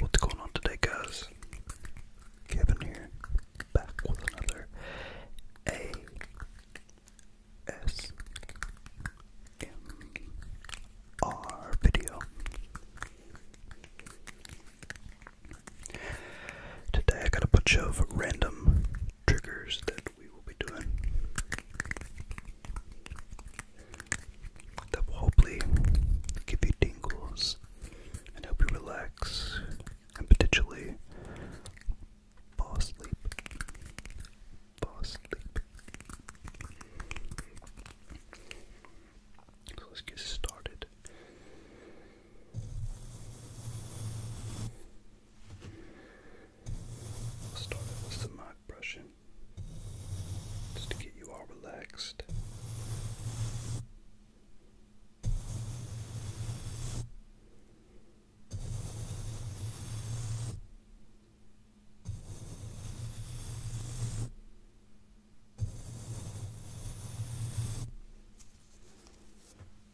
What's going on today, guys? Kevin here, back with another A S M R video. Today I got a bunch of random triggers that we will be doing that will hopefully give you tingles and help you relax and potentially fall asleep. Fall asleep. So let's get started. I'll start with some mic brushing just to get you all relaxed.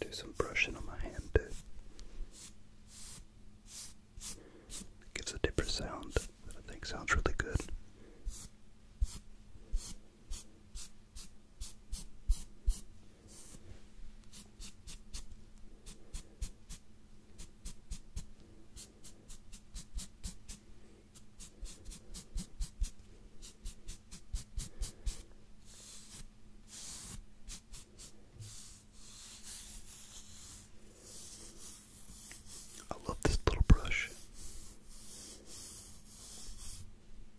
Do some brushing on my hand too. It gives a different sound that I think sounds really good. I love this little brush.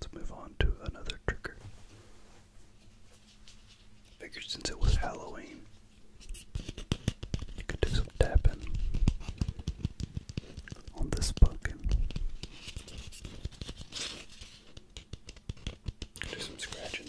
Let's move on to another trigger. Figured since it was Halloween, could do some tapping on this pumpkin. Do some scratching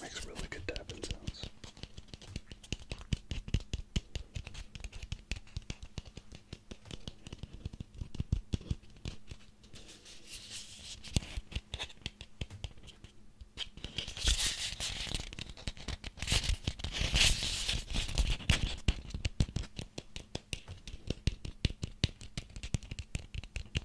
Makes really good tapping sounds.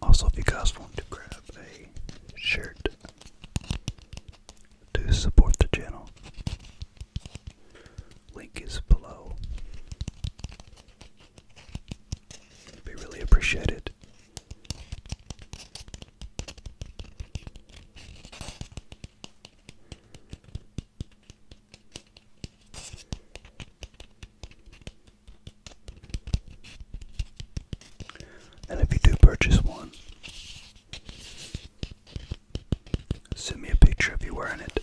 Also, if you guys want to grab a shirt to support the channel, link is below. It'd be really and if you do purchase one, send me a picture of you wearing it.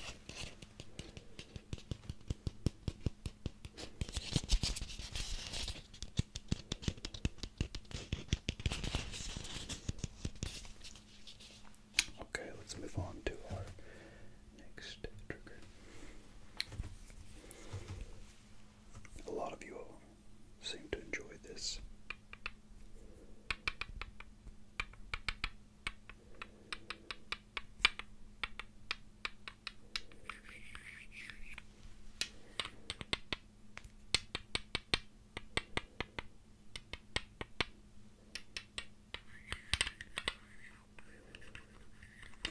Okay, let's move on to our next trigger. A lot of you seem to enjoy this.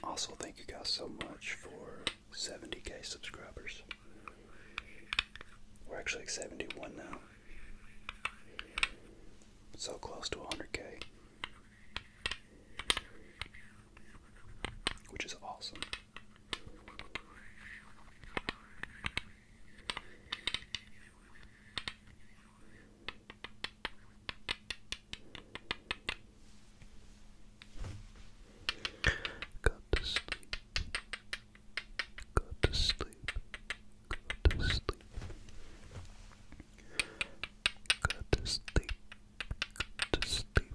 Also, thank you guys so much for 70k subscribers. We're actually at 71 now. So close to 100k. Which is awesome. Got to sleep. Got to sleep. Got to sleep. Got to sleep. Got to sleep. Got to sleep.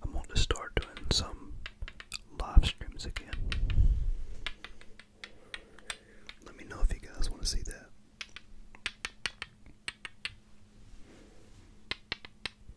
I'm going to start doing some live streams again. Let me know if you guys want to see that.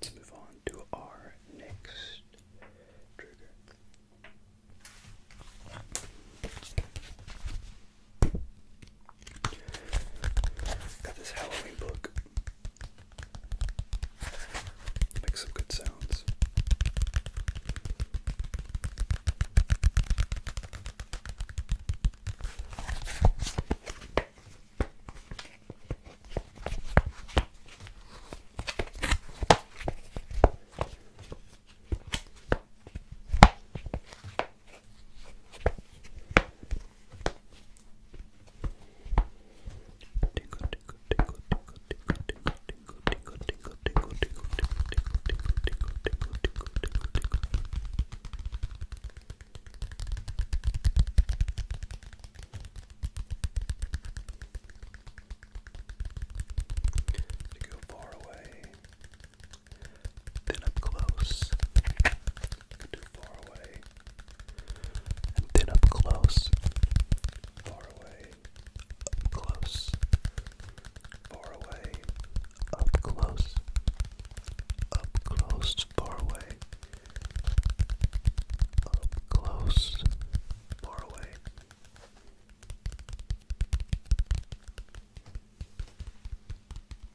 Let's move on to our next trigger. Got this Halloween book. Makes some good sounds. To go far away, then up close. You far away. And then up close. Far away. Up close. Far away. Up close. Up close. Far away. Up close. Far away.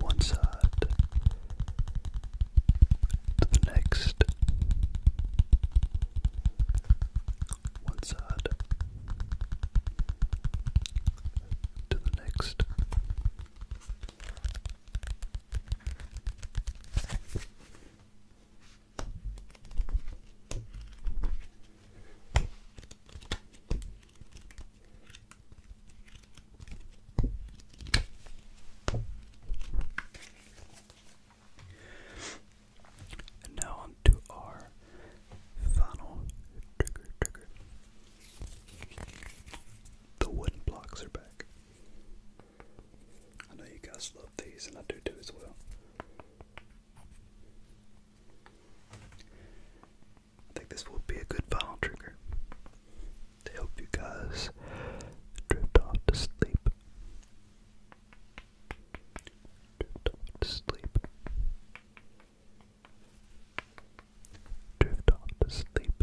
one side to the next, one side to the next. And now on our final trigger. The wooden blocks are back. I know you guys love these, and I do too as well. I think this will be a good final trigger to help you guys drift off to sleep. Drift off to sleep. Drift off to sleep.